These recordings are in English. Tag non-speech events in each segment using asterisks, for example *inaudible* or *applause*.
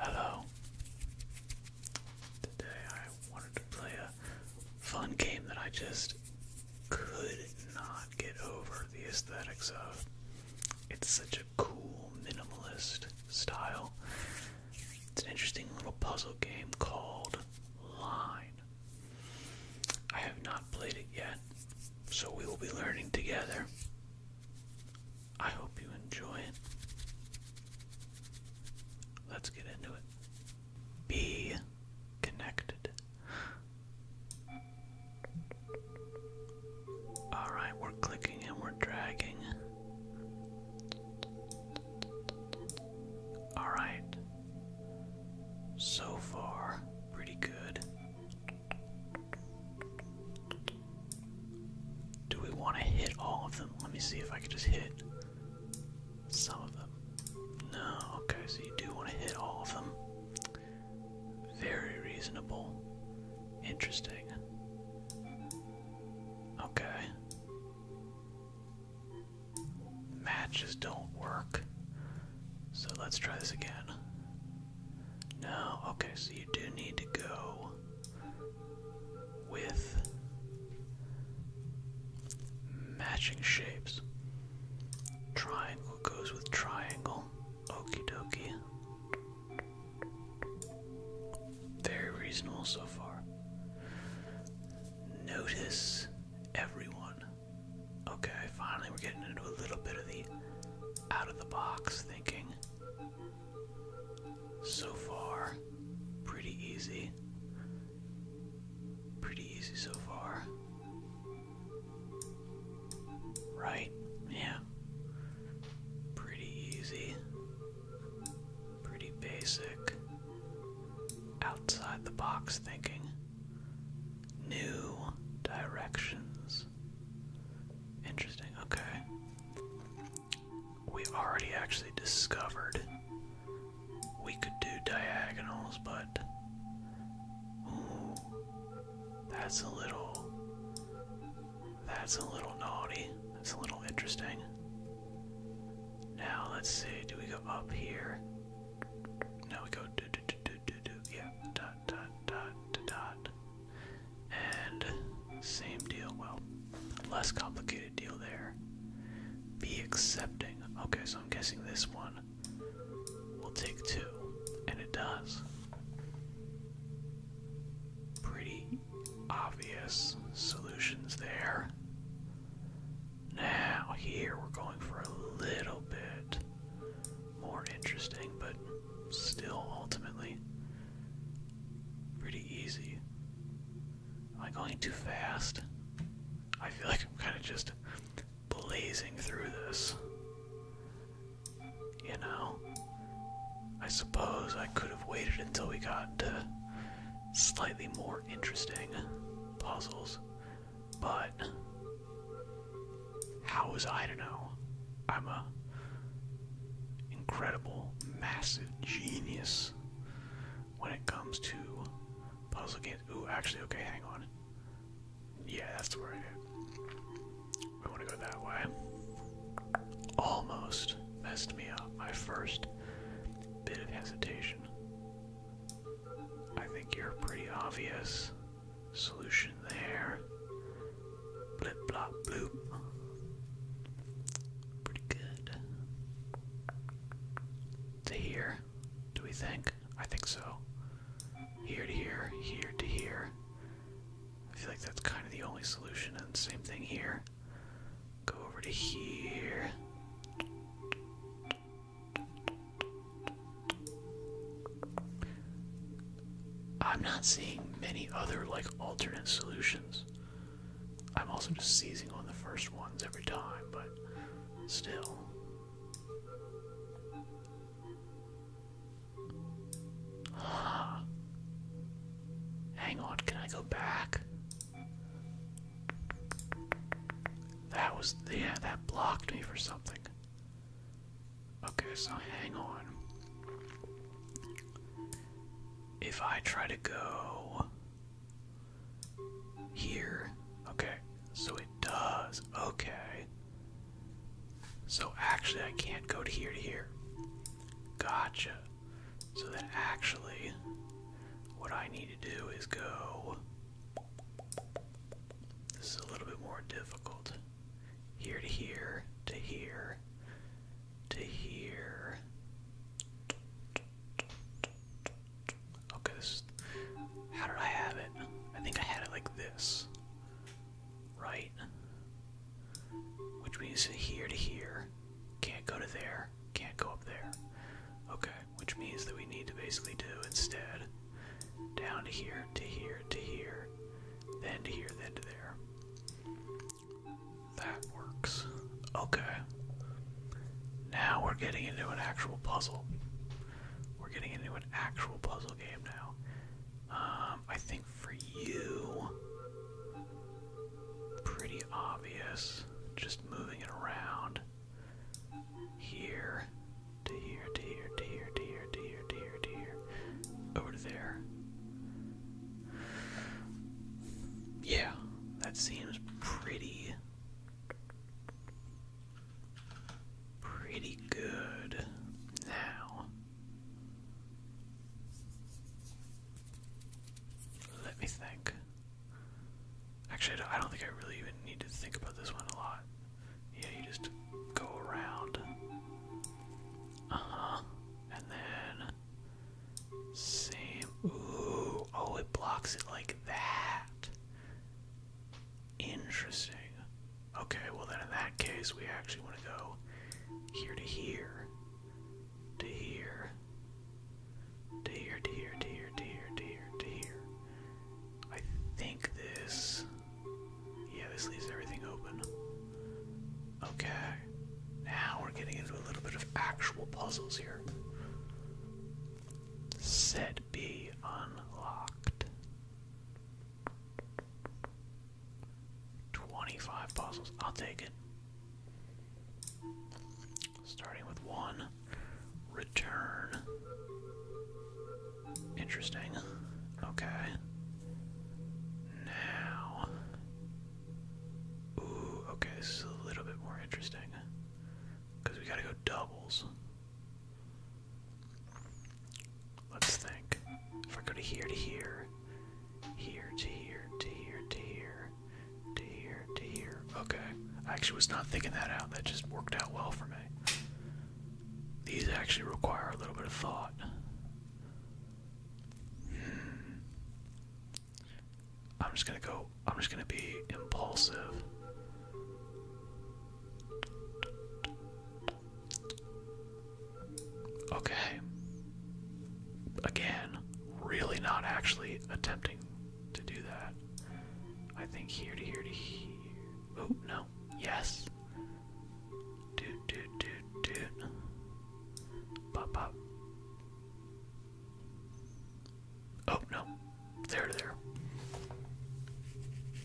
Hello. Today I wanted to play a fun game that I just could not get over the aesthetics of. It's such a cool minimalist style. It's an interesting little puzzle game called Line. I have not played it yet, so we will be learning together. I hope you enjoy it. Let's get into it. Be connected. Alright, we're clicking and we're dragging. Alright. So far, pretty good. Do we want to hit all of them? Let me see if I can just hit some of them. No, okay, so you do want to hit all of them. Very reasonable. Interesting. Okay. Matches don't work. So let's try this again. No, okay, so you do need to go with matching shapes. Triangle goes with triangle. Okey dokie. Very reasonable so far. Notice everyone. Okay, finally we're getting into a little bit of the out of the box thinking. So far, pretty easy. Pretty easy so far. Right? Yeah. Pretty easy. Pretty basic. Outside the box thinking. New directions. Interesting, okay we already actually discovered we could do diagonals, but that's a little that's a little naughty. That's a little interesting. Now let's see, do we go up here? No, we go yeah dot dot dot dot and same deal, well, less complicated deal there. Be accepting. Okay, so I'm guessing this one will take two, and it does. Pretty obvious solutions there. Now, here we're going for a little bit more interesting, but still ultimately pretty easy. Am I going too fast? I feel like I'm kind of just blazing through this. You know? I suppose I could have waited until we got to slightly more interesting puzzles, but how was I to know? I'm a incredible, massive genius when it comes to puzzle games. Ooh, actually, okay, hang on. Yeah, that's the word. I want to go that way. Almost messed me up. My first bit of hesitation. I think you're a pretty obvious solution there. Blip, blop, bloop. Pretty good. To here, do we think? I think so. Here to here, here to here. I feel like that's kind of the only solution, and same thing here. Go over to here. I'm not seeing many other like alternate solutions. I'm also just seizing on the first ones every time, but still. Hang on, can I go back? That was, yeah, that blocked me for something. Okay, so hang on. If I try to go here, okay, so it does, okay. So actually, I can't go to here to here. Gotcha. So then actually, what I need to do is go. This is a little bit more difficult here to here to here to here. Okay, How did I have it? I think I had it like this, right? Which means here to here. Can't go to there. Can't go up there. Okay, which means that we need to basically do instead down to here, to here, to here, then to here, then to there. That works. Okay. Now we're getting into an actual puzzle. We're getting into an actual puzzle game now. Um, I think for you, pretty obvious. Just moving it around. Here, to here, to here, to here, to here, to here, to here, Over there. Yeah, that seems pretty. Pretty good now. Let me think. Actually, I don't think I really even need to think about this one a lot. Yeah, you just go around. Uh and then same. oh, it blocks it like that. Interesting. Okay, well then in that case we actually want to go here to here, to here, to here, to here, to here, to here, to here. I think this yeah, this leaves everything open. Okay. Now we're getting into a little bit of actual puzzles here. Set B unlocked. 25 puzzles. I'll take it. Starting with one. Return. Interesting. Okay now. Ooh, okay, this is a little bit more interesting. Because we gotta go doubles. Let's think. If I go to here to here, here to here to here to here to here to here. Okay. I actually was not thinking that out. That just worked out well for me. These actually require a little bit of thought. I'm just gonna go, I'm just gonna be impulsive. Okay. Again, really not actually attempting to do that. I think here to here to here. Oh, no. Yes. Doot, doot, doot, doot. Pop, pop. Oh, no. There, there.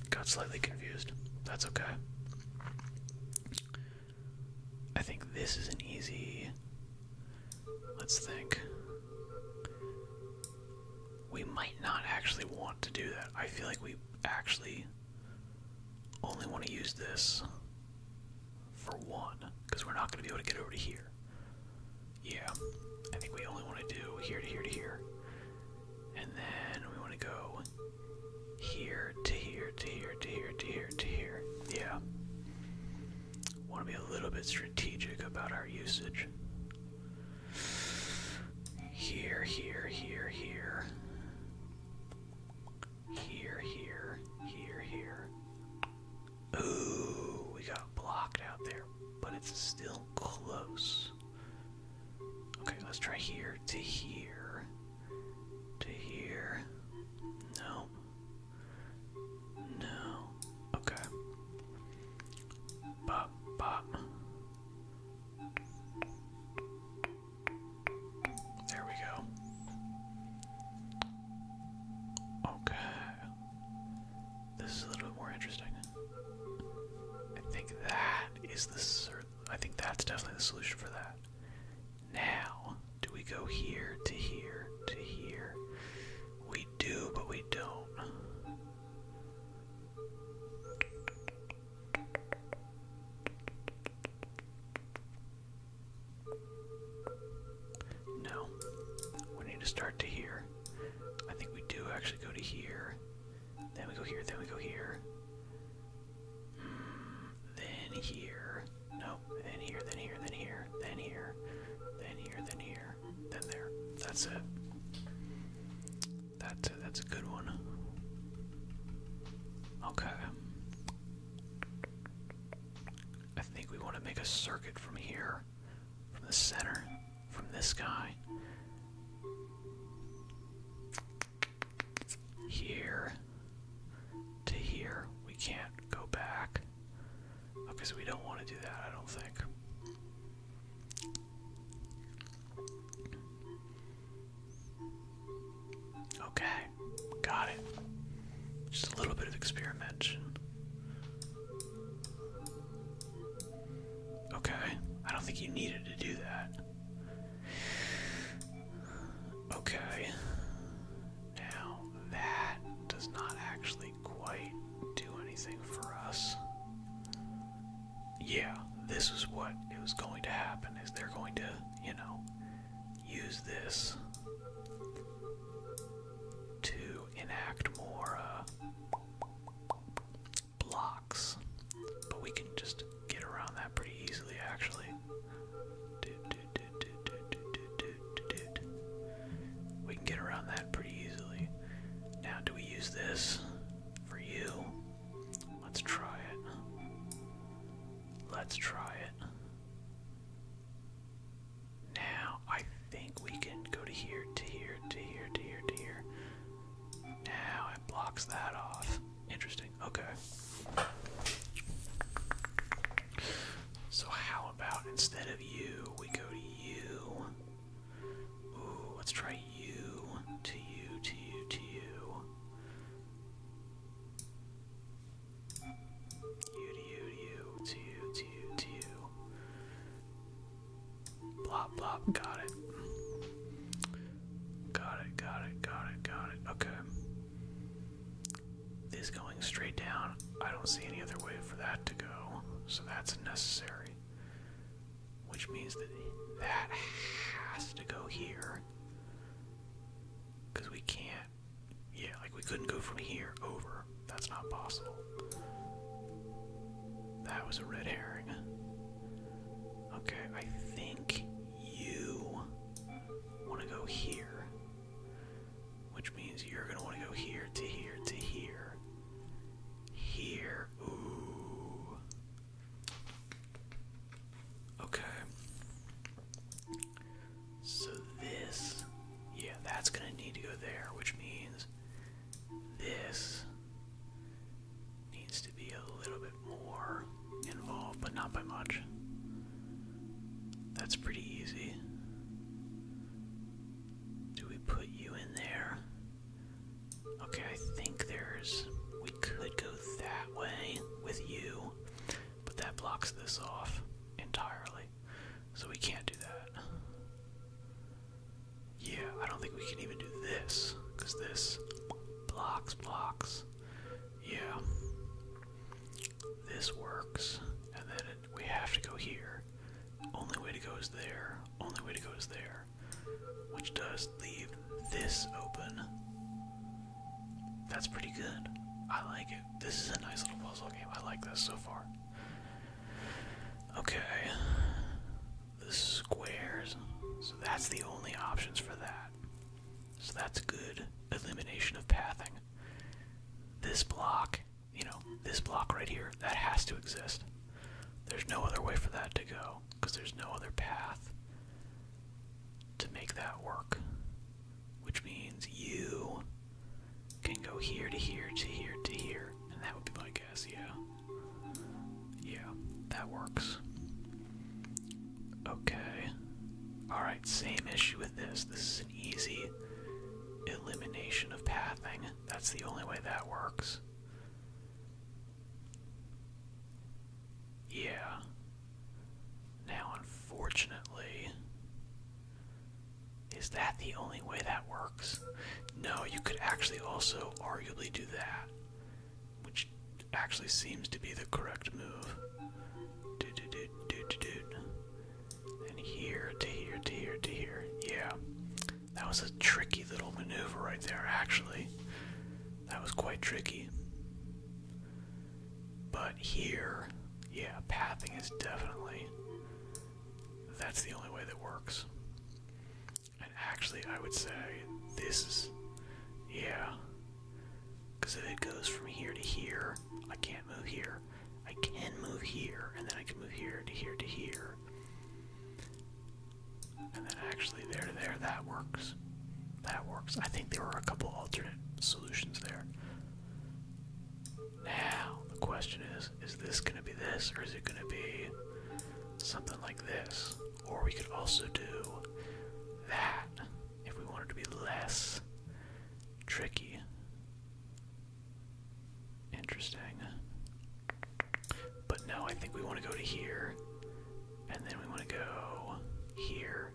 Got slightly confused. That's okay. I think this is an easy. Let's think. We might not actually want to do that. I feel like we actually only want to use this for one, because we're not going to be able to get over to here. Yeah, I think we only want to do here to here to here. And then we want to go here to here to here to here to here to here. Yeah. Want to be a little bit strategic about our usage. Here, here, here, here. Here, here, here, here. Ooh, we got blocked out there, but it's still close. Okay, let's try here to here. To here. No. No. Okay. Bop, bop. There we go. Okay. This is a little more interesting. I think that is the. I think that's definitely the solution for that. Now, do we go here to here to here? We do, but we don't. No. We need to start to here. I think we do actually go to here. Then we go here, then we go here. Mm, then here. No, then here, then here, then here, then here, then here, then here, then there. That's it. That's a, that's a good one. Okay. I think we want to make a circuit from here, from the center, from this guy. Here to here. We can't go back. Okay, oh, we don't want to do that, I don't think. Okay, got it. Just a little bit of experimentation. Okay, I don't think you needed to do that. Okay, now that does not actually quite do anything for us yeah, this is what it was going to happen is they're going to, you know, use this to enact more uh, blocks. But we can just get around that pretty easily actually. We can get around that pretty easily. Now, do we use this for you? Let's try it. Let's try it. Now, I think we can go to here, to here, to here, to here, to here. Now it blocks that off. Interesting. Okay. So, how about instead of you, we go to you? Ooh, let's try you, to you, to you, to you. You to you to you to you to you to you. Blop blop, got it. Got it, got it, got it, got it. Okay. This going straight down. I don't see any other way for that to go, so that's necessary. Which means that that has to go here. Because we can't. Yeah, like we couldn't go from here over. That's not possible. That was a red herring. Okay, I think you want to go here. Which means you're going to want to go here to here to here. Here. Ooh. Okay. So this, yeah, that's gonna need to go there, which means this needs to be a little bit more involved, but not by much. That's pretty easy. Do we put you in there? Okay, I think there's. We could go that way with you, but that blocks this off entirely. So we can't do that. Yeah, I don't think we can even do this, because this blocks, blocks. Yeah. This works, and then we have to go here. Only way to go is there. Only way to go is there which does leave this open. That's pretty good. I like it. This is a nice little puzzle game. I like this so far. Okay. The squares. So that's the only options for that. So that's good elimination of pathing. This block, you know, this block right here, that has to exist. There's no other way for that to go because there's no other path to make that work. Which means you can go here to here to here to here, and that would be my guess, yeah. Yeah, that works. Okay. Alright, same issue with this. This is an easy elimination of pathing. That's the only way that works. Yeah. Now, unfortunately, is that the only way that works? No, you could actually also arguably do that, which actually seems to be the correct move. Do do do do do do. And here to here to here to here. Yeah, that was a tricky little maneuver right there, actually. That was quite tricky. But here, yeah, pathing is definitely. That's the only way that works. And actually, I would say this is. Yeah. Because if it goes from here to here, I can't move here. I can move here, and then I can move here to here to here. And then actually there there, that works. That works. I think there were a couple alternate solutions there. Now, the question is, is this going to be this, or is it going to be something like this? Or we could also do that if we wanted to be less tricky. Interesting. But no, I think we want to go to here and then we want to go here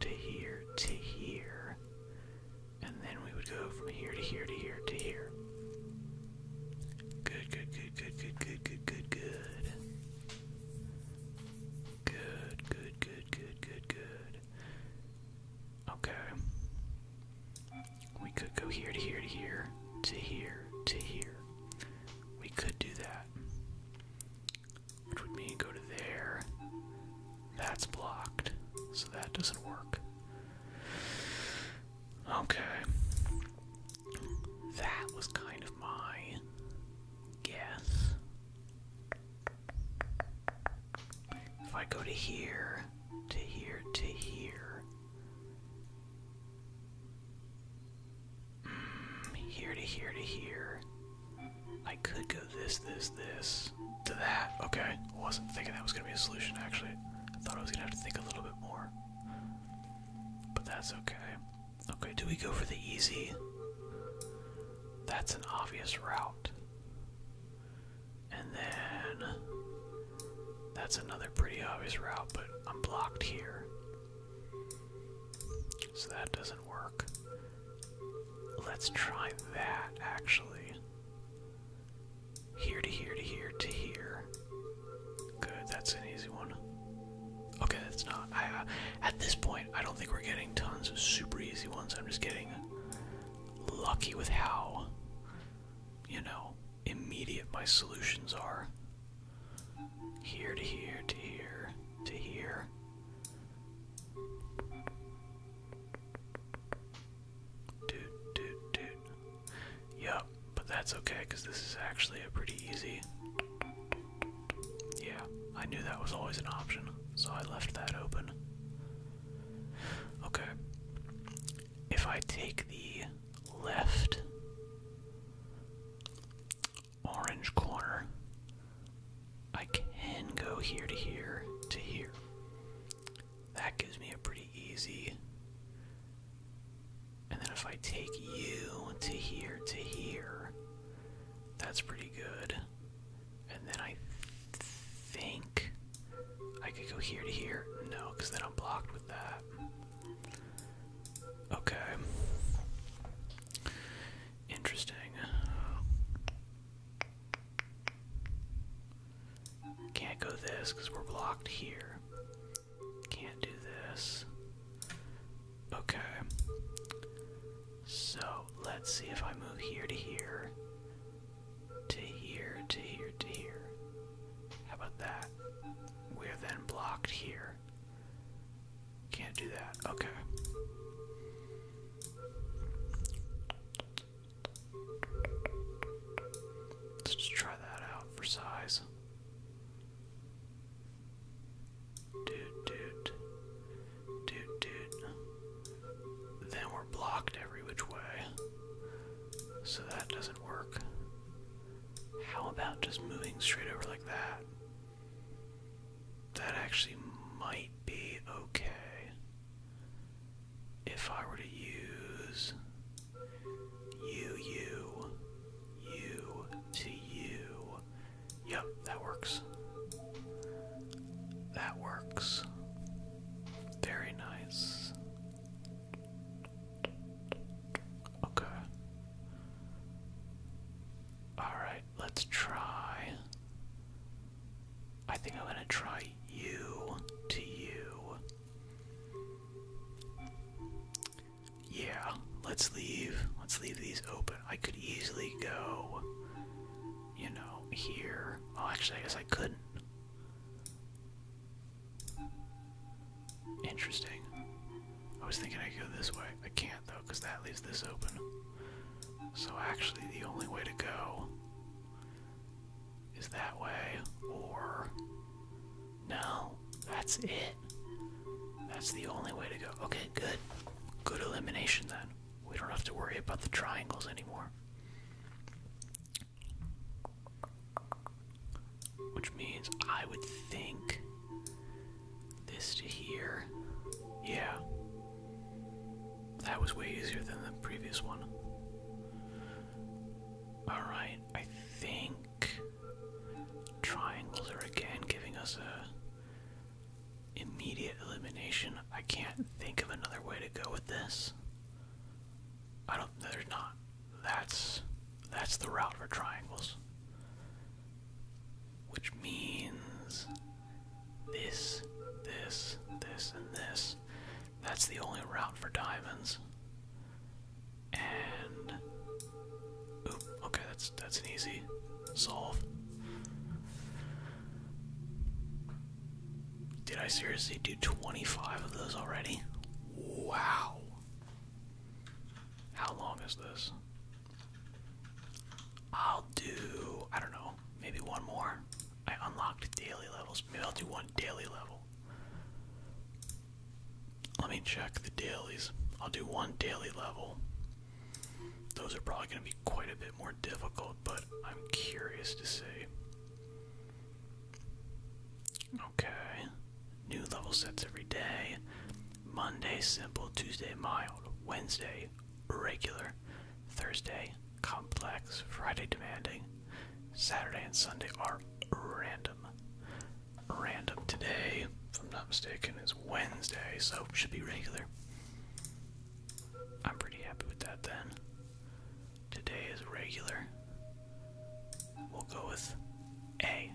to here to here. And then we would go from here to here to here to here. Good, good, good, good, good, good, good, good, good. Good, good, good, good, good, good. Okay. We could go here to here to here to here to here. We could do that. Which would mean go to there. That's blocked. So that doesn't work. Okay. That was kind of my guess. If I go to here, to here, to here here to here to here. I could go this, this, this to that. Okay, I wasn't thinking that was gonna be a solution actually. I thought I was gonna have to think a little bit more. But that's okay. Okay, do we go for the easy? That's an obvious route. And then that's another pretty obvious route, but I'm blocked here. So that doesn't work. Let's try that actually. Here to here to here to here. Good, that's an easy one. Okay, that's not. Uh, at this point, I don't think we're getting tons of super easy ones. I'm just getting lucky with how, you know, immediate my solutions are. Here to here to here to here. Dude, dude, dude. Yup, but that's okay because this is actually a pretty easy. Yeah, I knew that was always an option, so I left that open. Okay. If I take the left orange corner, I can go here to here to here. That gives me a pretty easy. And then if I take you to here to here, that's pretty good. And then I think I could go here to here. No, because then I'm blocked with that. Okay. Interesting. Can't go this because we're blocked here. Can't do this. Okay. So let's see if I move here to here, to here, to here, to here. How about that? We're then blocked here. Can't do that. Okay. Let's just try that out for size. Dude, dude. Dude, dude. Then we're blocked every which way. So that doesn't work. How about just moving straight over like that? That actually might be okay. If I were to use you, you, you to you. Yep, that works. That works. Very nice. Okay. Alright, let's try. I think I'm gonna try you to you. Yeah, let's leave. Let's leave these open. I could easily go, you know, here. Oh, actually, I guess I couldn't. Interesting. I was thinking I could go this way. I can't though, because that leaves this open. So actually the only way to go is that way, or no, that's it. That's the only way to go. Okay, good. Good elimination then. We don't have to worry about the triangles anymore. Which means I would think this to here. Yeah. That was way easier than the previous one. Alright, I think triangles are again giving us a immediate elimination. I can't think of another way to go with this. I don't there's not. That's that's the route for triangles. Which means this, this, this, and this. That's the only route for diamonds. And oop, okay, that's that's an easy solve. Did I seriously do 25 of those already? Wow. How long is this? I'll do, I don't know, maybe one more. I unlocked daily levels. Maybe I'll do one daily level. Let me check the dailies. I'll do one daily level. Those are probably going to be quite a bit more difficult, but I'm curious to see. Okay. New level sets every day. Monday simple, Tuesday mild, Wednesday regular, Thursday complex, Friday demanding, Saturday and Sunday are random. Random today, if I'm not mistaken, is Wednesday, so should be regular. I'm pretty happy with that then. Today is regular. We'll go with A.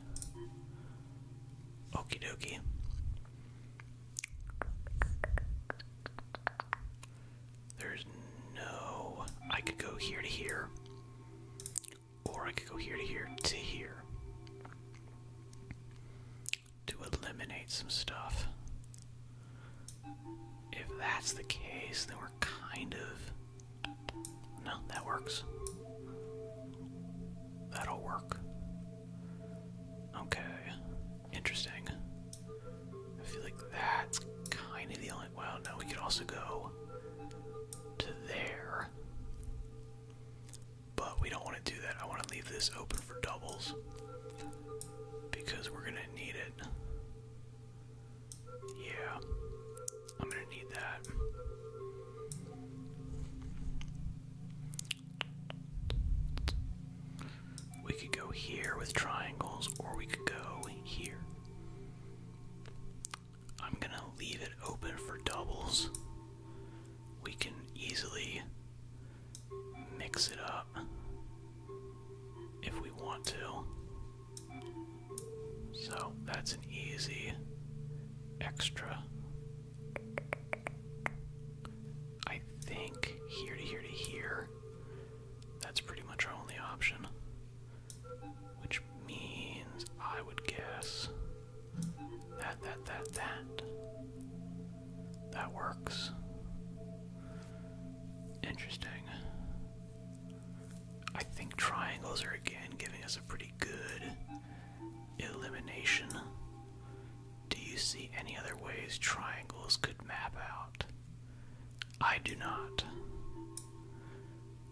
Okey dokey. There's no. I could go here to here. Or I could go here to here to here. To eliminate some stuff. If that's the case, then we kind of no, that works. That'll work. Okay, interesting. I feel like that's kind of the only. Well, no, we could also go to there. But we don't want to do that. I want to leave this open for doubles because we're going to need it. Yeah, I'm gonna need that. We could go here with triangles, or we could go here. I'm gonna leave it open for doubles. We can easily mix it up if we want to. So that's an easy extra. I think here to here to here. That's pretty much our only option. Which means I would guess that, that, that, that. That works. Interesting. I think triangles are again giving us a pretty good elimination. Do you see any other ways triangles could map out? I do not.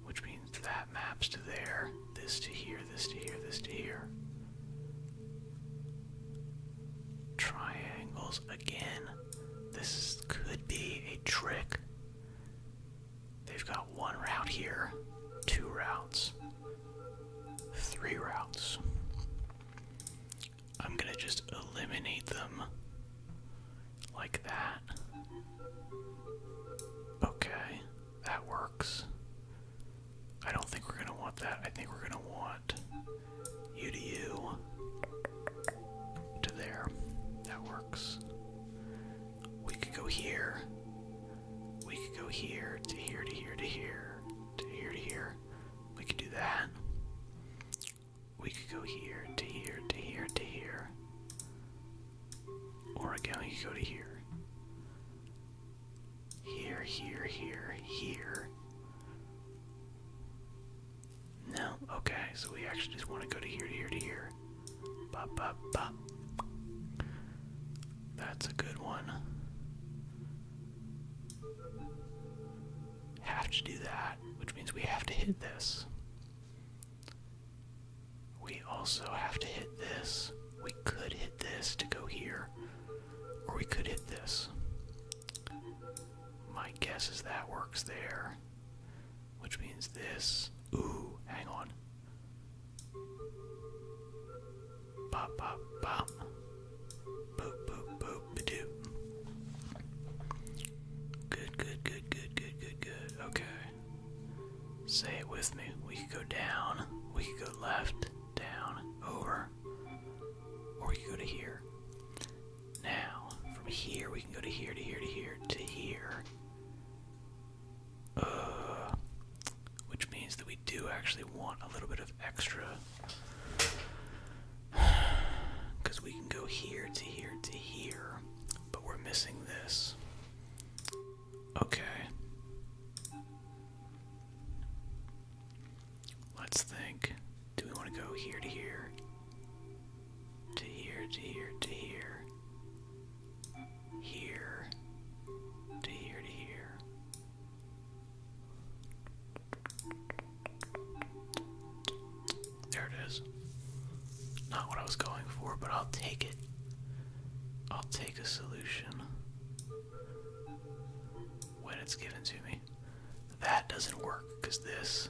Which means that maps to there, this to here, this to here, this to here. Triangles again. This could be a trick. They've got one route here, two routes, three routes. I'm gonna just eliminate them like that. Okay, that works. I don't think we're gonna want that. I think we're gonna want you to you to there. That works. We could go here. We could go here to here to here to here to here to here. We could do that. We could go here to here to here to here. Or again, we could go to here. Here, here, here, here. No, okay, so we actually just want to go to here to here to here. That's a good one. Have to do that, which means we have to hit this. We also have to hit this. We could hit this to go here, or we could hit this. My guess is that works there. Which means this. Ooh, hang on. Pop, pop, pop. Boop, boop, boop, badoo. Good, good, good, good, good, good, good. Okay. Say it with me. We could go down. We could go left, down, over. Or we could go to here. Now, from here, we can go to here, to here, to here, to here. Uh, which means that we do actually want a little bit of extra. Because *sighs* we can go here to here to here, but we're missing this. Okay. Let's think. Do we want to go here to here? to here, to here, to here, here, to here, to here. There it is. Not what I was going for, but I'll take it. I'll take a solution when it's given to me. That doesn't work because this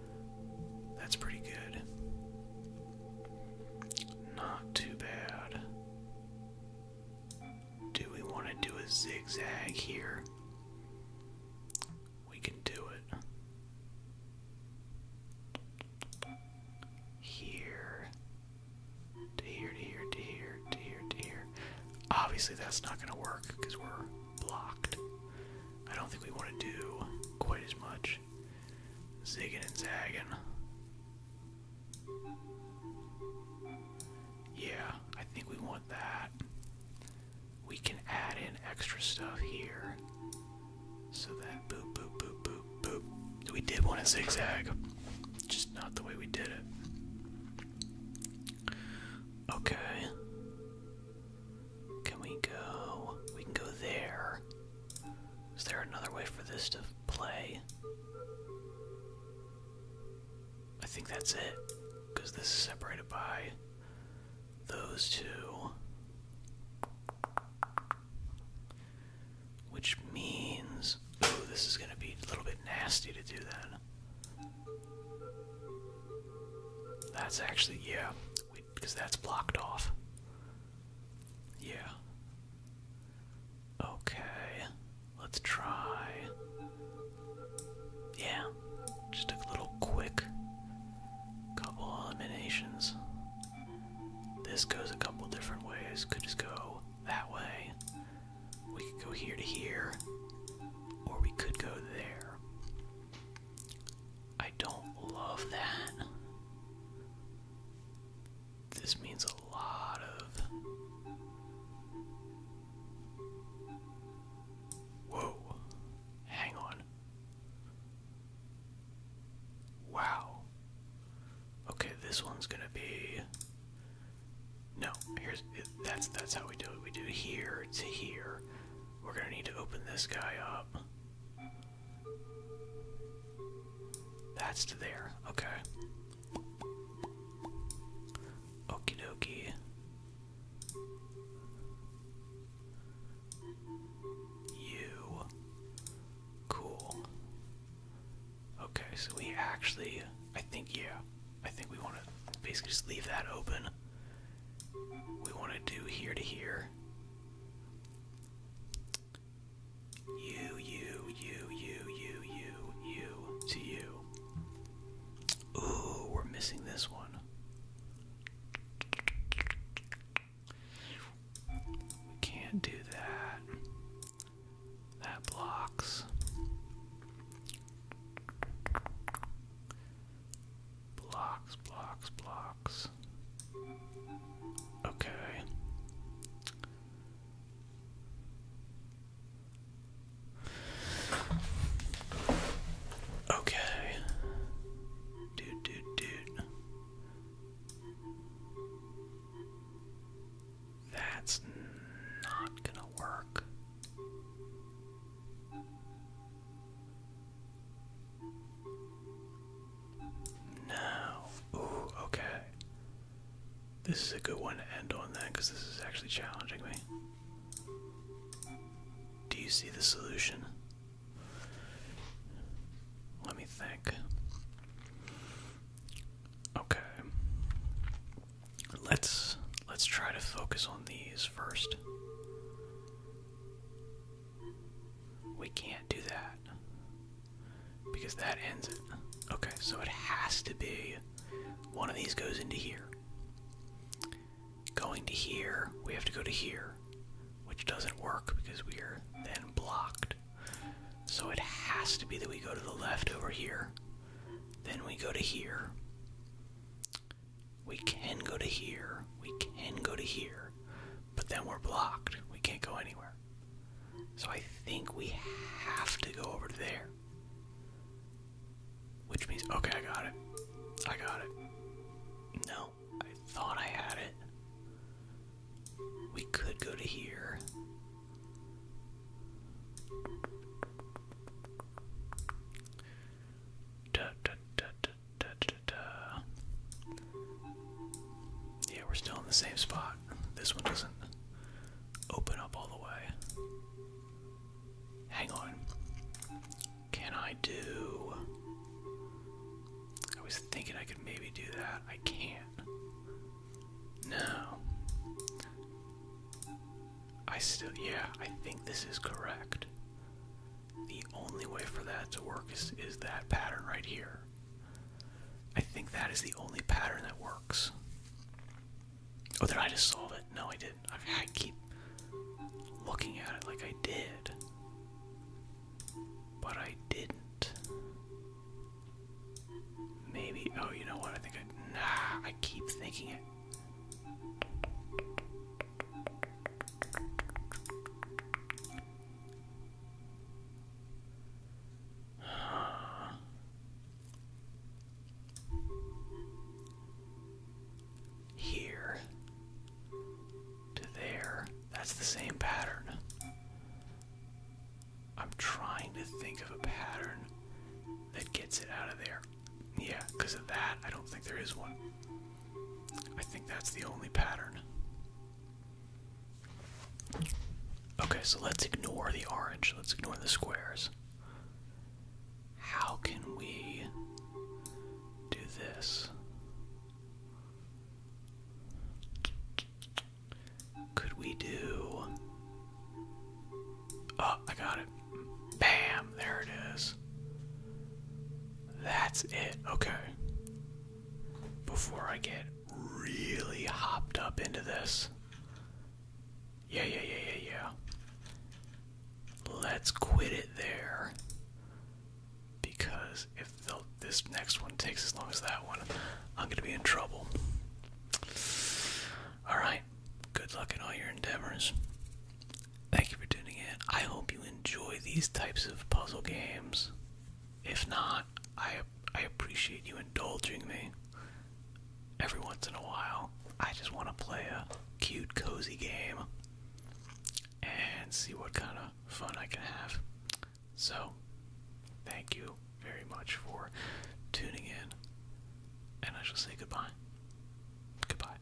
That's pretty good. Not too bad. Do we want to do a zigzag here? We can do it. Here. To here, to here, to here, to here, to here. Obviously, that's not going to work because we're blocked. I don't think we want to do quite as much zigging and zagging. Yeah, I think we want that. We can add in extra stuff here. So that boop, boop, boop, boop, boop. We did want to zigzag, just not the way we did it. Okay. Can we go? We can go there. Is there another way for this to play? I think that's it, because this is separated by those two. Which means, oh, this is going to be a little bit nasty to do that. That's actually, yeah, because that's blocked off. Yeah. Okay. Let's try. Yeah. Just a little quick couple eliminations. This goes a couple different ways. Could just go that way. We could go here to here. Or we could go there. I don't love that. This means a lot of. Whoa. Hang on. Wow. Okay, this one's gonna be. No, here's that's that's how we do it. We do here to here. We're gonna need to open this guy up. That's to there. Okay. Okie dokie. You. Cool. Okay, so we actually, I think, yeah, I think we want to basically just leave that open. We want to do here to here, you, you, you, you, you, you, you, to you. Ooh, we're missing this one. We can't do that. That blocks. Blocks, blocks, blocks. Okay. Okay. Dude, dude, dude. That's not gonna work. Now, okay. This is a good one to end on then, because this is actually challenging me. Do you see the solution? Let me think. Okay. Let's let's try to focus on these first. We can't do that. Because that ends it. Okay, so it has to be one of these goes into here. Going to here, we have to go to here, which doesn't work because we are then blocked. So it has to be that we go to the left over here, then we go to here, we can go to here. We can go to here. But then we're blocked. We can't go anywhere. So I think we have to go over there. Which means, okay, I got it. I got it. No, I thought I had it. We could go to here. Yeah, we're still in the same spot. This one doesn't open up all the way. Hang on. Can I do. I was thinking I could maybe do that. I can't. No. I still. Yeah, I think this is correct the only way for that to work is, is that pattern right here. I think that is the only pattern that works. Oh, did I just solve it? No, I didn't. I, keep looking at it like I did, but I didn't. Maybe. Oh, you know what? I think I. Nah, I keep thinking it. Here to there. That's the same pattern. I'm trying to think of a pattern that gets it out of there. Yeah, because of that, I don't think there is one. I think that's the only pattern. Okay, so let's ignore the orange. Let's ignore the squares. How can we do this? Could we do. Oh, I got it. Bam, there it is. That's it. Okay. Before I get really hopped up into this. Yeah, yeah, yeah, yeah, yeah. Let's quit it there. Because if this next one takes as long as that one, I'm gonna be in trouble. Alright, good luck in all your endeavors. Thank you for tuning in. I hope you enjoy these types of puzzle games. If not, I I appreciate you indulging me. Every once in a while, I just want to play a cute, cozy game and see what kind of fun I can have. So, thank you very much for tuning in, and I shall say goodbye. Goodbye.